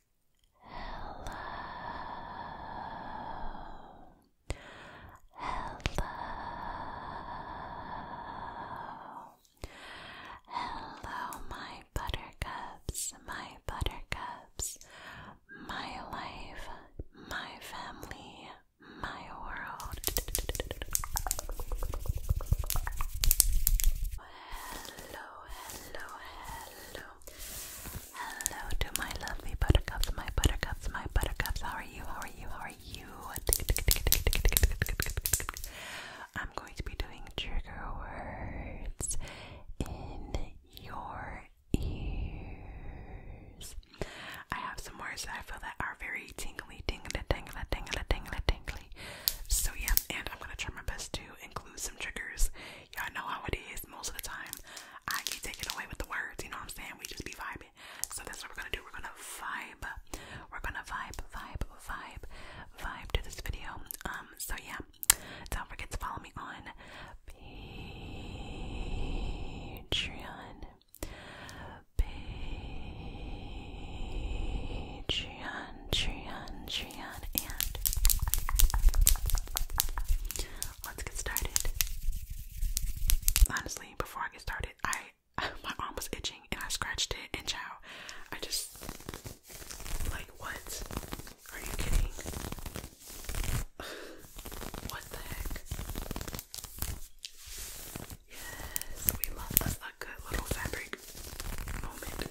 Hello. Hello. Hello, my buttercups, my buttercups, my life, my family, my world. Hello, hello, hello, Hello to my lovely buttercups, my buttercups, my buttercups. How are you? How are you? How are you? I'm going to be doing trigger words in your ears. I have some words that I feel that are very tingly, tingly, tingly, tingly, tingly, tingly. So yeah, and I'm gonna try my best to include some triggers Y'all know how it is most of the time. I get taken away with the words, you know what I'm saying? We just be vibing. So that's what we're gonna do. We're gonna vibe. We're gonna vibe, vibe, vibe, vibe to this video. Um, so yeah. Don't forget to follow me on Patreon. Patreon. Treon, Treon, and let's get started. Honestly, before I get started, I my arm was itching and I scratched it, and chow, I just like what? Are you kidding? what the heck? Yes, we love a good little fabric moment.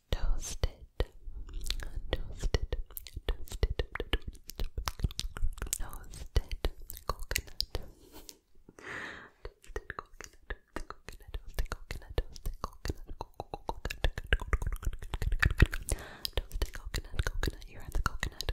toasted, toasted, toasted, toasted coconut. Toasted coconut, the coconut, toasted coconut, toasted coconut, coconut, toasted coconut, coconut. You had the coconut.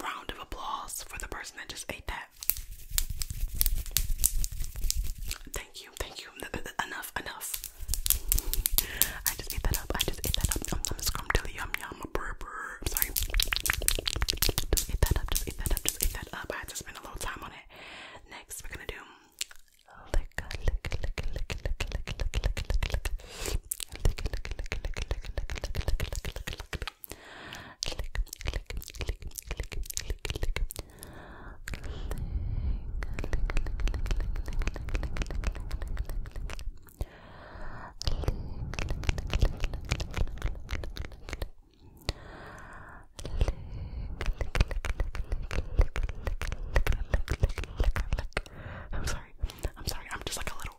Round of applause for the person that just ate that. Thank you, thank you. Enough, enough. I just ate that up. I just ate that up. I'm scrumptially yum yum. sorry. Just ate that up. Just ate that up. Just ate that up. I had to spend a little time on it. Next, we're gonna do. I'm sorry. I'm sorry. I'm just like a little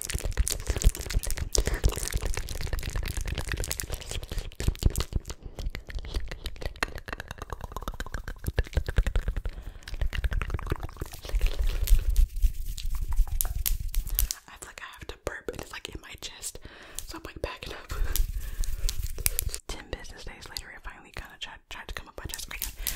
I feel like I have to burp and it's like in my chest, so I'm like backing up. Ten business days later, I finally kind of tried, tried to come up my chest. Okay,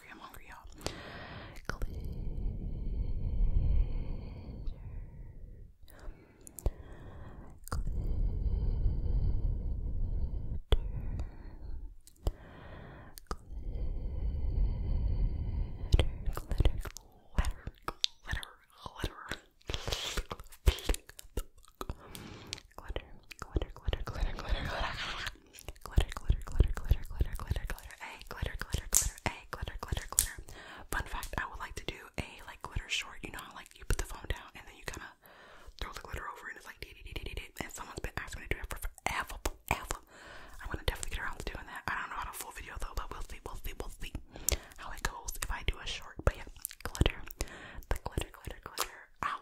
I'm hungry, you Glitter. Glitter. Glitter. Glitter. Glitter. Glitter. Glitter. Glitter, glitter, glitter, glitter, glitter. Glitter, glitter, glitter, glitter, glitter, glitter, glitter, a glitter, glitter, glitter, a glitter, glitter, glitter. Fun fact, I would like to do a like glitter short, you know how like you put the phone down and then you kinda throw the glitter over and it's like dee dee dee dee dee and someone's been asking me to do it for forever, forever. I'm gonna definitely get around to doing that. I don't know how to full video though, but we'll see, we'll see, we'll see how it goes if I do a short. But yeah, glitter, the glitter, glitter, glitter. Ow,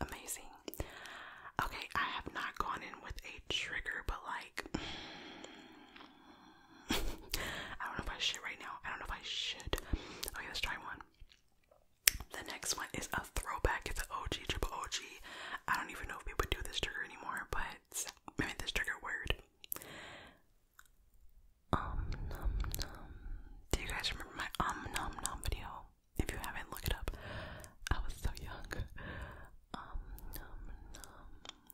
Amazing. Okay, I have not gone in with a trigger, but like I don't know if I should right now. I don't know if I should. Okay, let's try one. The next one is a throwback. It's an OG, triple OG. I don't even know if people do this trigger anymore, but maybe this trigger word. Um num num. Do you guys remember my um num num video? If you haven't, look it up. I was so young. Um num num.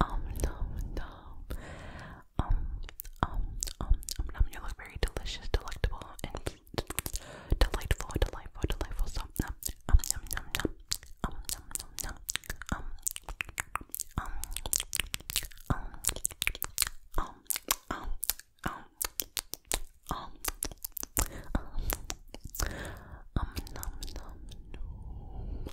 Um, um, Um, um, um, um, You look very delicious, delectable, and delightful, delightful, delightful. So, nom, um, nom, nom, nom. Um, nom, nom, nom. Um, um, um, um, um, um, um, um, um, nom, nom, nom.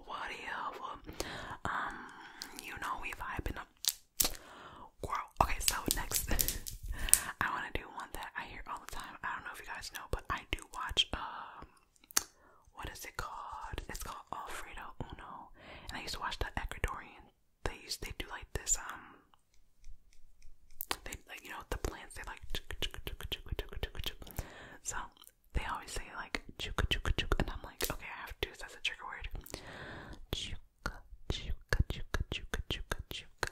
whatever. Um, you know we vibing up. Okay, so next I wanna do one that I hear all the time. I don't know if you guys know, but I do watch um what is it called? It's called Alfredo Uno. And I used to watch the Ecuadorian they used they do like this um they you know the plants they like so they always say like chuka chuka chuka, and I'm like, okay, I have to do this as a trigger word. Chuka chuka chuka chuka chuka chuka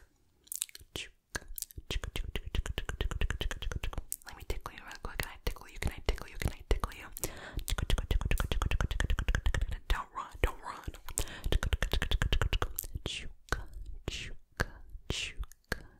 chuka chuka chuka chuka chuka chuka chuka chuka chuka. Let me tickle you real quick. Can I tickle you? Can I tickle you? Can I tickle you? Chuka chuka chuka chuka chuka chuka chuka chuka chuka. Don't run! Don't run! Chuka chuka chuka chuka chuka chuka. Chuka chuka chuka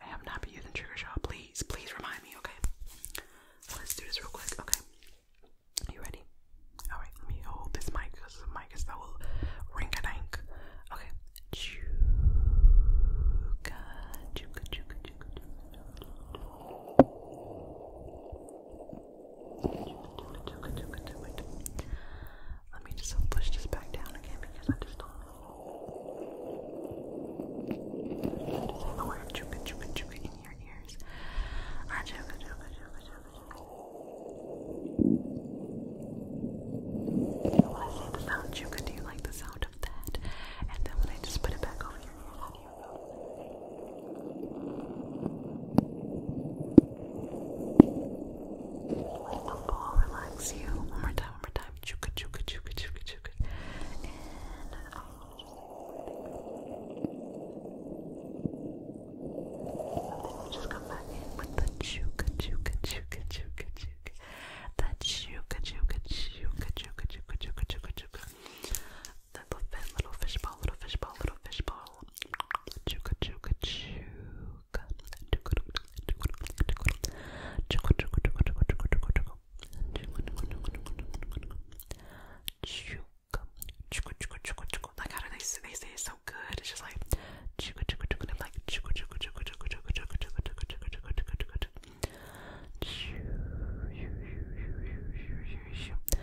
I have not been using Trigger Shot. Please, please remind me, okay? Let's do this real quick, okay? You ready? Alright, let me hold this mic because the mic is that will ring a dank. Okay. Chuka, chuka, chuka, chuka, chuka. Let me just push this back down again because I just don't. I just have the word chuka chuka chuka in your ears. Ah, chuka chuka chuka chuka chuka. When I say the sound chuka, do you like the sound of that? And then when I just put it back over your ears, I'll relax you one more time, one more time. Chuka, chuka, chuka, chuka, chuka. And I will just then we'll just come back in with the chuka, chuka, chuka, chuka, chuka. That chuka, chuka, chuka, chuka, chuka, chuka, chuka, chuka. That's a fin, little fishball, little fishball, little fishball. Chuka chuka chuka. Chuka chuka chuka. Chuka chuka chuka chuka chuka chuka chuka. Chuka chuka chuka chuka chuka. Like how do they say they say it's so good? It's just like chuka chuka chuka. I'm like chuka chuka chuka chuka chuka chuka chuka chuka chuka chuka chuka chuka. Shoo shoo shoo shoo shoo shoo shoo.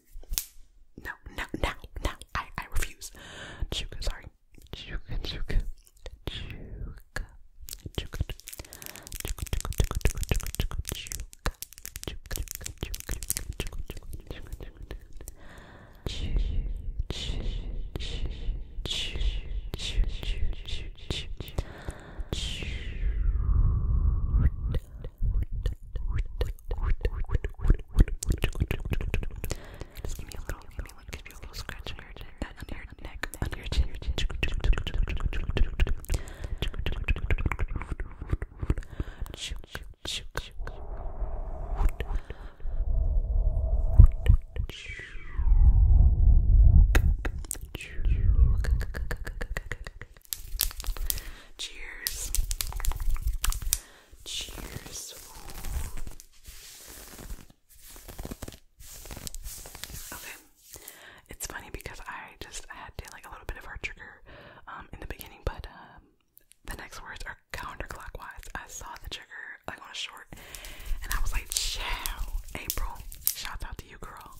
no, no, no, no. I, I refuse. Chuka, sorry. Chuka, chuka. Chuka. Chuka. Just give me a little, give me a little, give you a little scratch on your chin, under your neck, under your chin. Cheers. Cheers. Okay. It's funny because I just had to, like a little bit of heart trigger um, in the beginning, but um, the next words are counterclockwise. I saw the trigger like on a short, and I was like, "Ciao, April! Shout out to you, girl."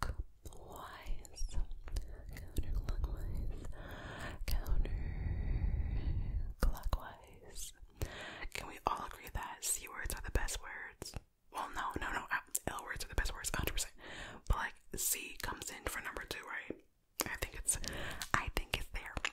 clockwise, counterclockwise, counterclockwise. Can we all agree that C words are the best words? Well, no, no, no, uh, L words are the best words, 100%. But like C comes in for number two, right? I think it's, I think it's there, okay?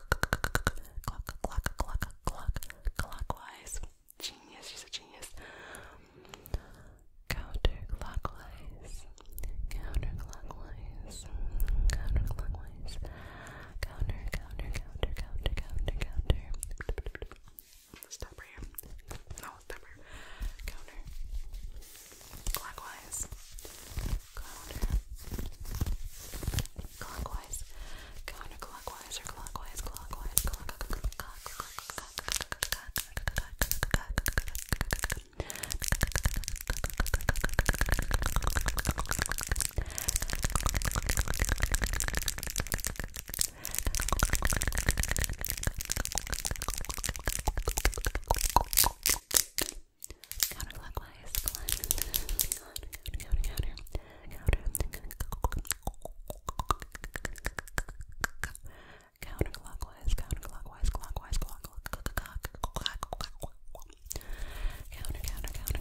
clockwise. Genius, she's a genius. Counterclockwise, counterclockwise, counterclockwise, counter, counter, counter, counter, counter, counter. Stop here. No, stop Counter, clockwise, counter, clockwise, counterclockwise, or clockwise, clockwise, clockwise, clockwise, counterclockwise, counter, counter, counter, counterclockwise, counter, counter, counter, counter, counter. Counter, counter, counter, counter, counter.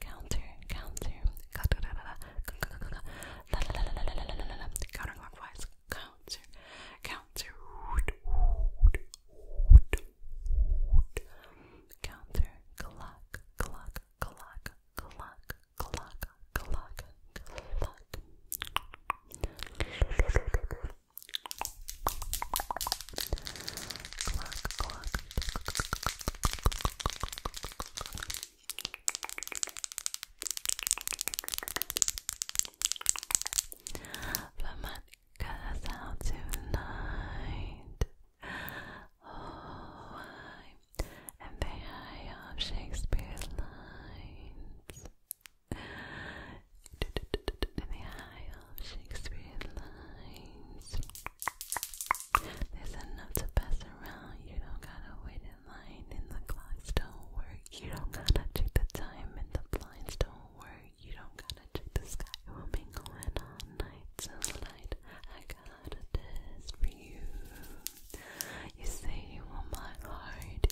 Counter, counter, counterclockwise, counter, counter, counter, clock, clock, clock, clock, clock, clock, clock. Cluck, cluck. Vermont out tonight. Oh, I am the eye of Shakespeare's lines in the eye of Shakespeare's lines. There's enough to pass around. You don't gotta wait in line, and the clocks don't work. You don't gotta check the time, and the blinds don't work. You don't gotta check the sky. It will be going all night till light. I got a test for you. You say you want my heart.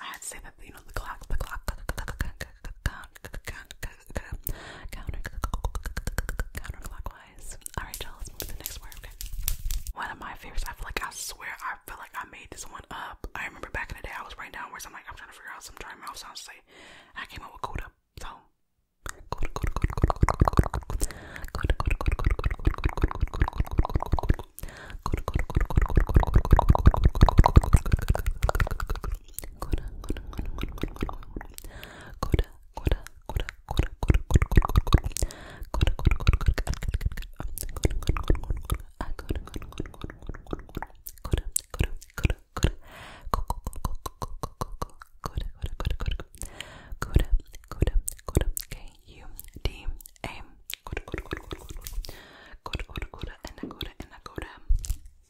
I had to say that you know the clock, the clock, counterclockwise. Alright, y'all, let's move to the next word. One of my favorites, I feel like I swear I feel like I made this one up. I remember back in the day I was writing down words, I'm like, I'm trying to figure out some dry mouth sounds to say. I came up with Kuda. So Koda, Koda, Koda, and Koda, and Koda.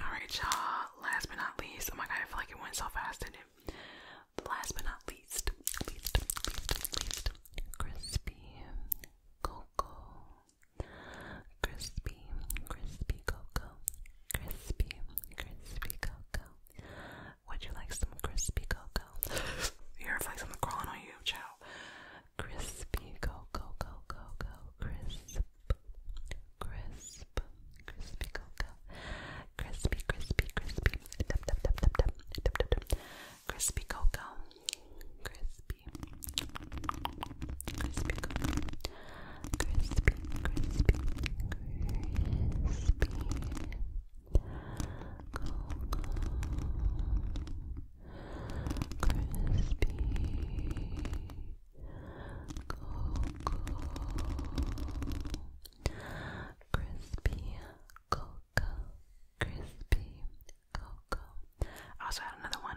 Alright, y'all. Last but not least, oh my god, I feel like it went so fast, didn't it? Last but not least, least, least, least, crispy cocoa Crispy, crispy cocoa. Crispy, crispy cocoa. Would you like some crispy cocoa? Your reflects on the crawling on you, chow. Crispy cocoa, cocoa, cocoa. Crisp, crisp, crispy cocoa. Crispy, crispy, crispy. Dum, dum, dum, dum, dum. Dum, dum, dum. Crispy cocoa. Crispy. Crispy cocoa crispy, crispy, crispy cocoa, crispy cocoa, crispy cocoa, crispy cocoa. I also had another one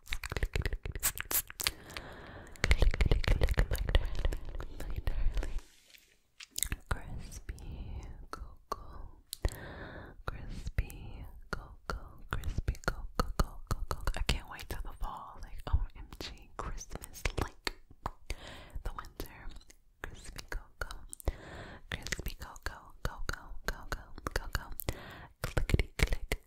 Crispy cocoa, crispy cocoa, crispy cocoa, cocoa, cocoa. I can't wait till the fall. Like, OMG, Christmas, like the winter. Crispy cocoa, crispy cocoa, cocoa, cocoa, cocoa. Clickety click,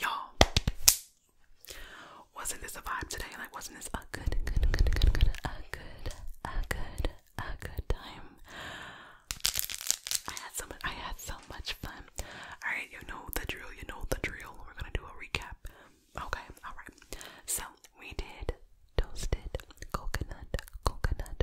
y'all, wasn't this a vibe today? Like, wasn't this a good, good, good, good, good, a good, a good, a good time? I had so much, I had so much fun. All right, you know the drill. You know the drill. We're gonna do a recap. Okay, all right. So we did toasted coconut, coconut,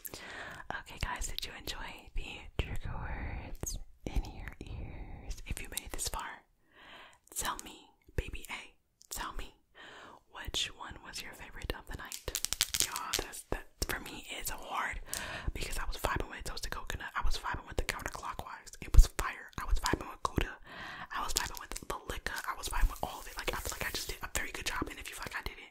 Okay, guys, did you enjoy the trigger in your ears? If you made this far, tell me, baby A, tell me which one was your favorite of the night. Y'all, that's for me is hard because I was vibing with toasted coconut, I was vibing with the counterclockwise, it was fire, I was vibing with Gouda, I was vibing with the liquor, I was vibing with all of it. Like I feel like I just did a very good job, and if you feel like I did it,